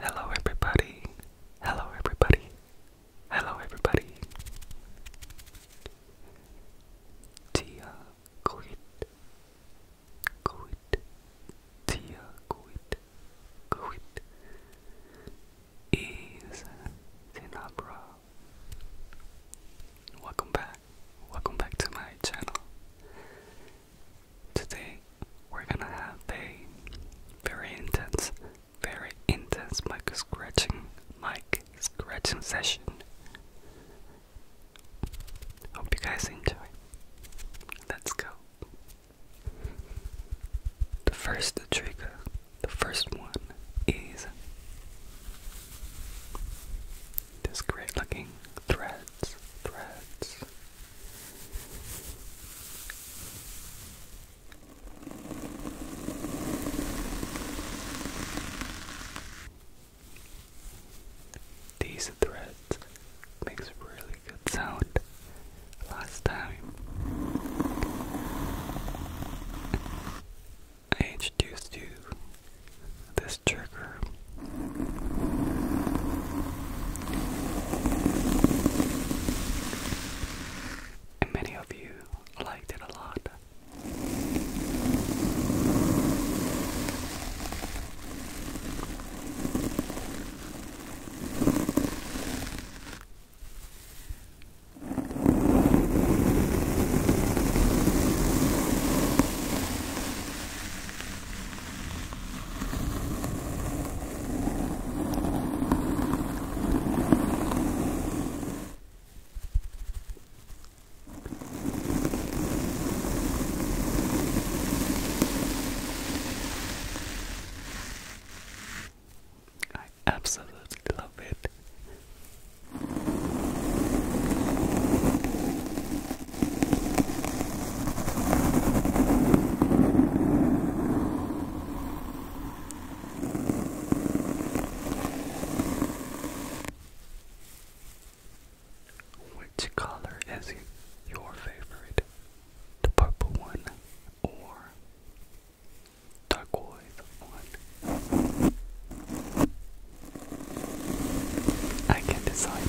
Hello, everybody. Hello, everybody. Hello, everybody. Tia quit. Quit. Tia quit. Quit. Is Sinabra. Welcome back. Welcome back to my channel. Today we're gonna have a very intense, very intense mic scratching, mic scratching session. Hope you guys enjoy. Let's go. The first trigger, the first one is this great looking threads, threads, these threads makes really good sound last time. I introduced you this trigger and many of you liked it a lot. I absolutely love it. Which color is your favorite? The purple one or turquoise one? I can decide.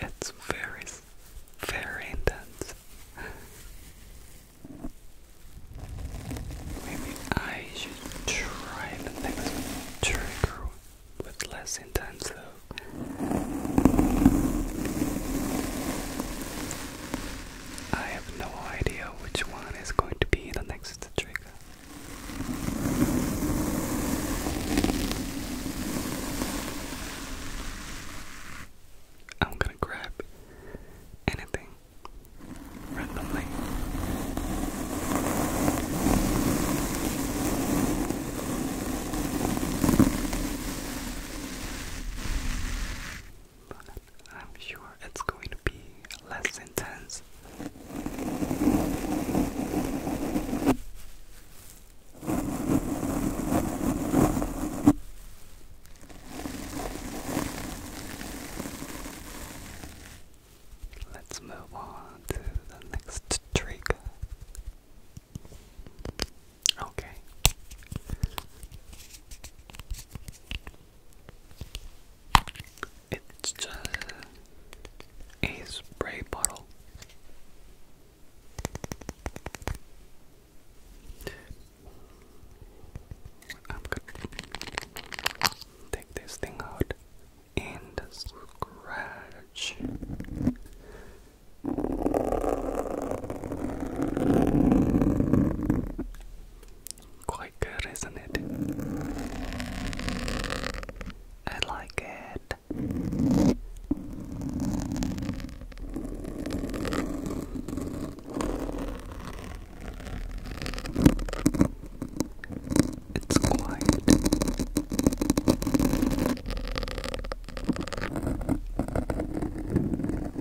It's very, very intense. Maybe I should try the next trigger with less intense I have no idea which one is going to be the next trigger. I'm gonna grab anything randomly. I'm sure it's going to be less intense. Let's move on to the next trigger. Okay. It's just a spray bottle. I'm gonna take this thing out and scratch. Quite good, isn't it? I like it. It's quiet.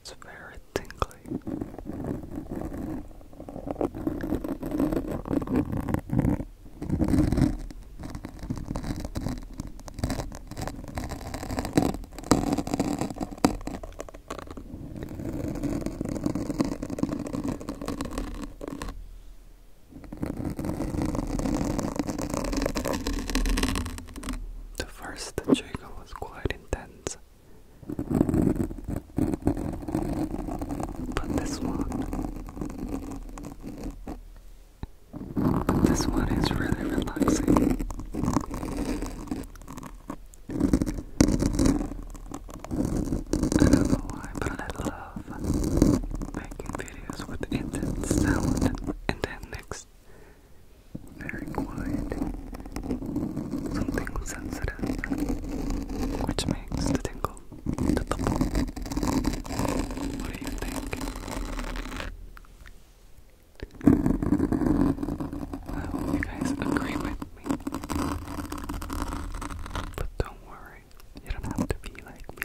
It's very tingly. The first trigger was quite intense, but this one. This one is really relaxing. I don't know why, but I love making videos with intense sound, and then next, very quiet, something sensitive, which makes the tingle to the ball. What do you think? I hope you guys agree with me. But don't worry, you don't have to be like me.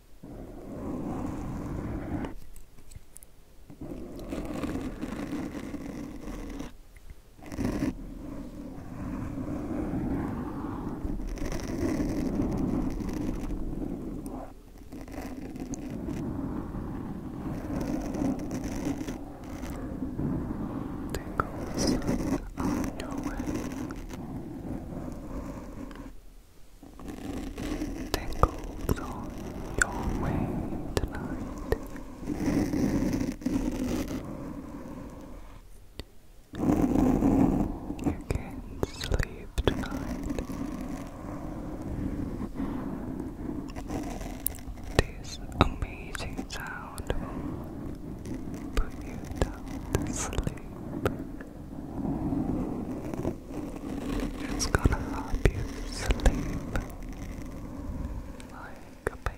Tingles are doing tingles on your way tonight. You can sleep tonight. This amazing sound will put you to sleep. It's gonna help you sleep like a baby.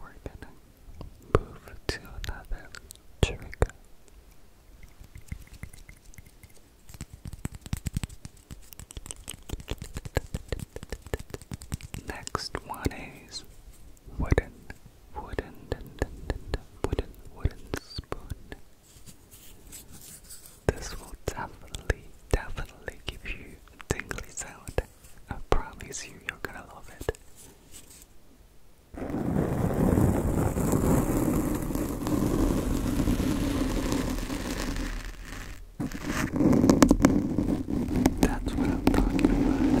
we're gonna move to another trigger. Next one is wooden, wooden, wooden, wooden spoon. This will definitely, definitely give you a tingly sound. I promise you, you're gonna love it. That's what I'm talking about.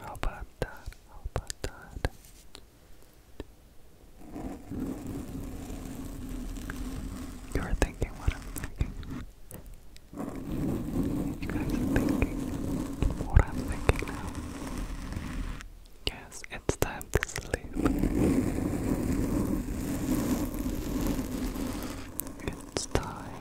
How about that? How about that? You're thinking what I'm thinking. You guys are thinking what I'm thinking now. Yes, it's time to sleep. It's time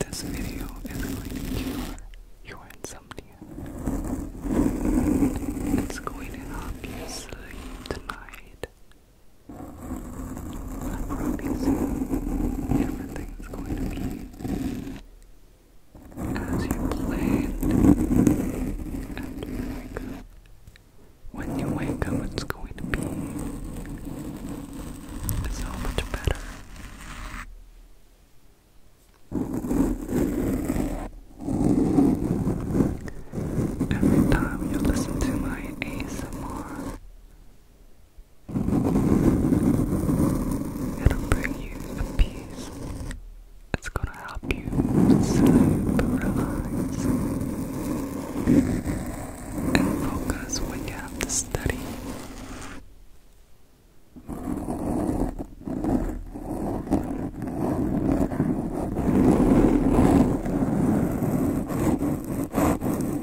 This video is going to cure your insomnia. It's going to help you sleep tonight. I'm going to be as you planned. When you wake up, it's going to be so much better. Every time you listen to my ASMR, It'll bring you peace. It's gonna help you sleep, and focus when you have to study.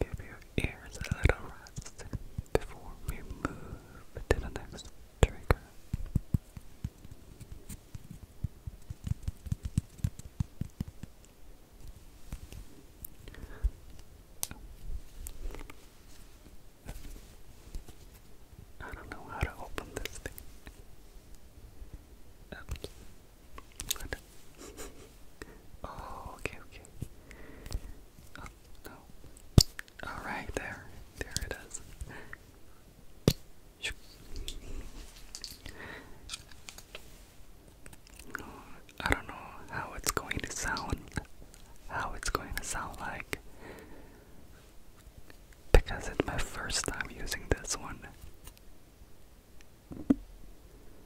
Give your ears a little rest before we move to the next trigger. I don't know how to open this thing. Oh, okay, okay. No. Alright, there. There it is. I don't know how it's going to sound. How it's going to sound like. Because it's my first time using this one.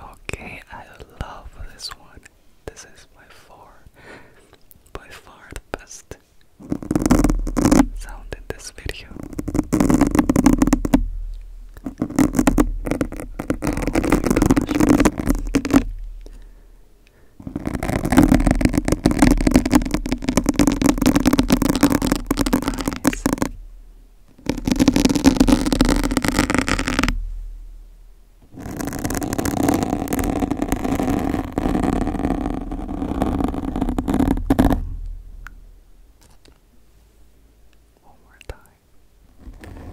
Okay, I love this one. This is by far, by far the best sound in this video. Oh my gosh. Oh, nice. One more time. Yes.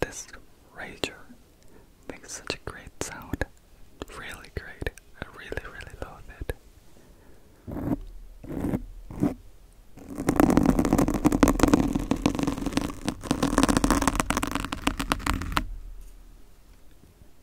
This rager makes such a great sound. Really great. I really, really love it.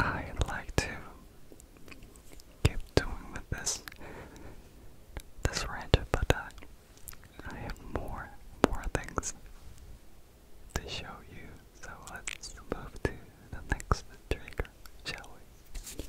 I'd like to keep doing with this this rant, but uh, I have more more things to show you. So let's move to the next trigger, shall we?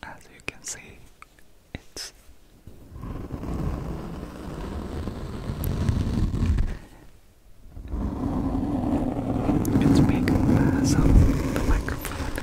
As you can see, it's it's making mess of the microphone.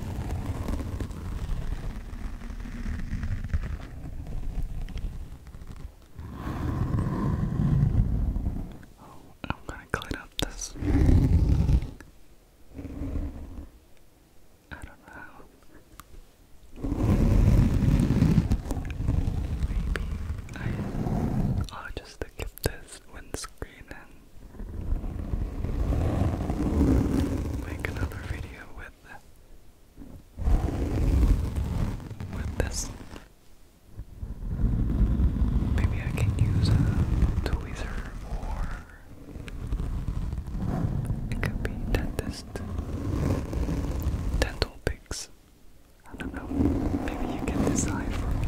Oh, I'm gonna clean up this. I don't know. Maybe I, I'll oh, just give this windscreen and make another video with with this. Maybe I can use a tweezer or it could be dentist dental pics. I don't know. Maybe you can decide for me.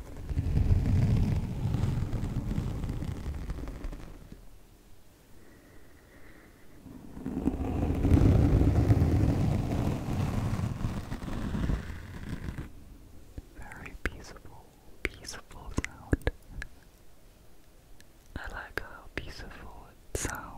Very peaceful, peaceful sound. I like how peaceful it sounds.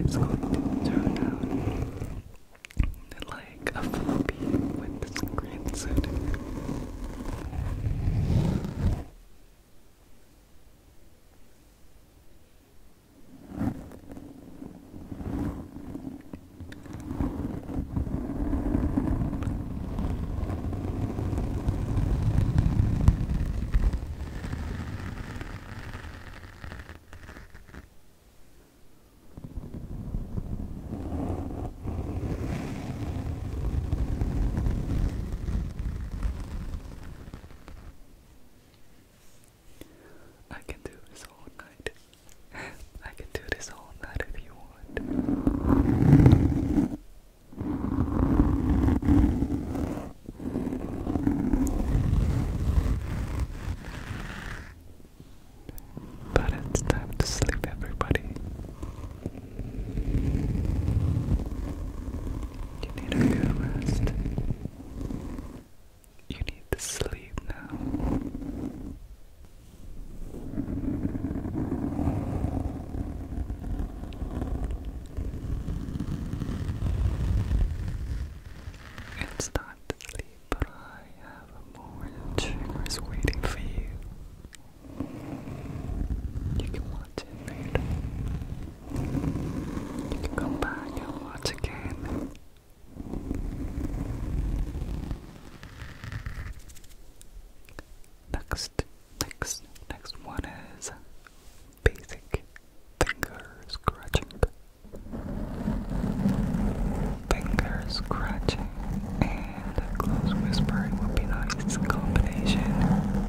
It's going to turn out like a floppy with the screen I can do this all night. I can do this all night if you want. But it's time to sleep, everybody. You need a good rest. You need to sleep now. It's time to sleep, but I have a more triggers waiting for you. You can watch it You can come back watch again. Next Next, next one is basic finger scratching. Finger scratching and close whispering would be nice combination.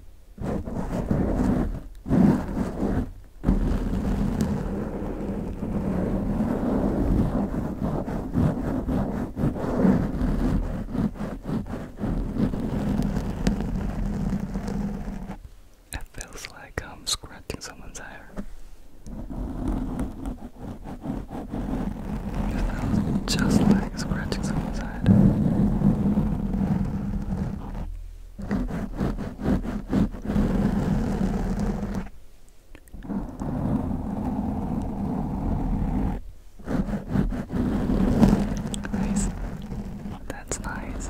It feels like I'm scratching someone's hair. That was just like scratching someone's head. Nice. That's nice.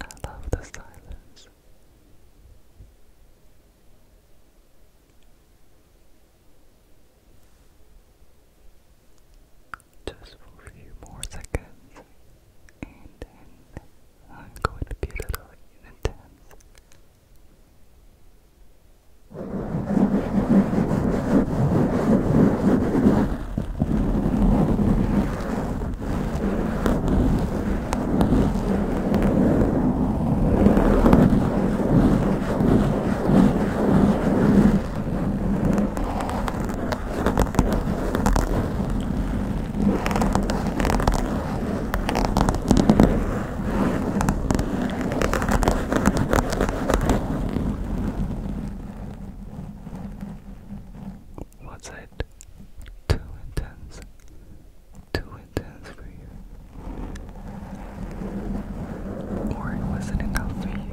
I love the silence. Just for a few more seconds, and I'm going to be a little intense. Was it too intense? Too intense for you, or it wasn't enough for you.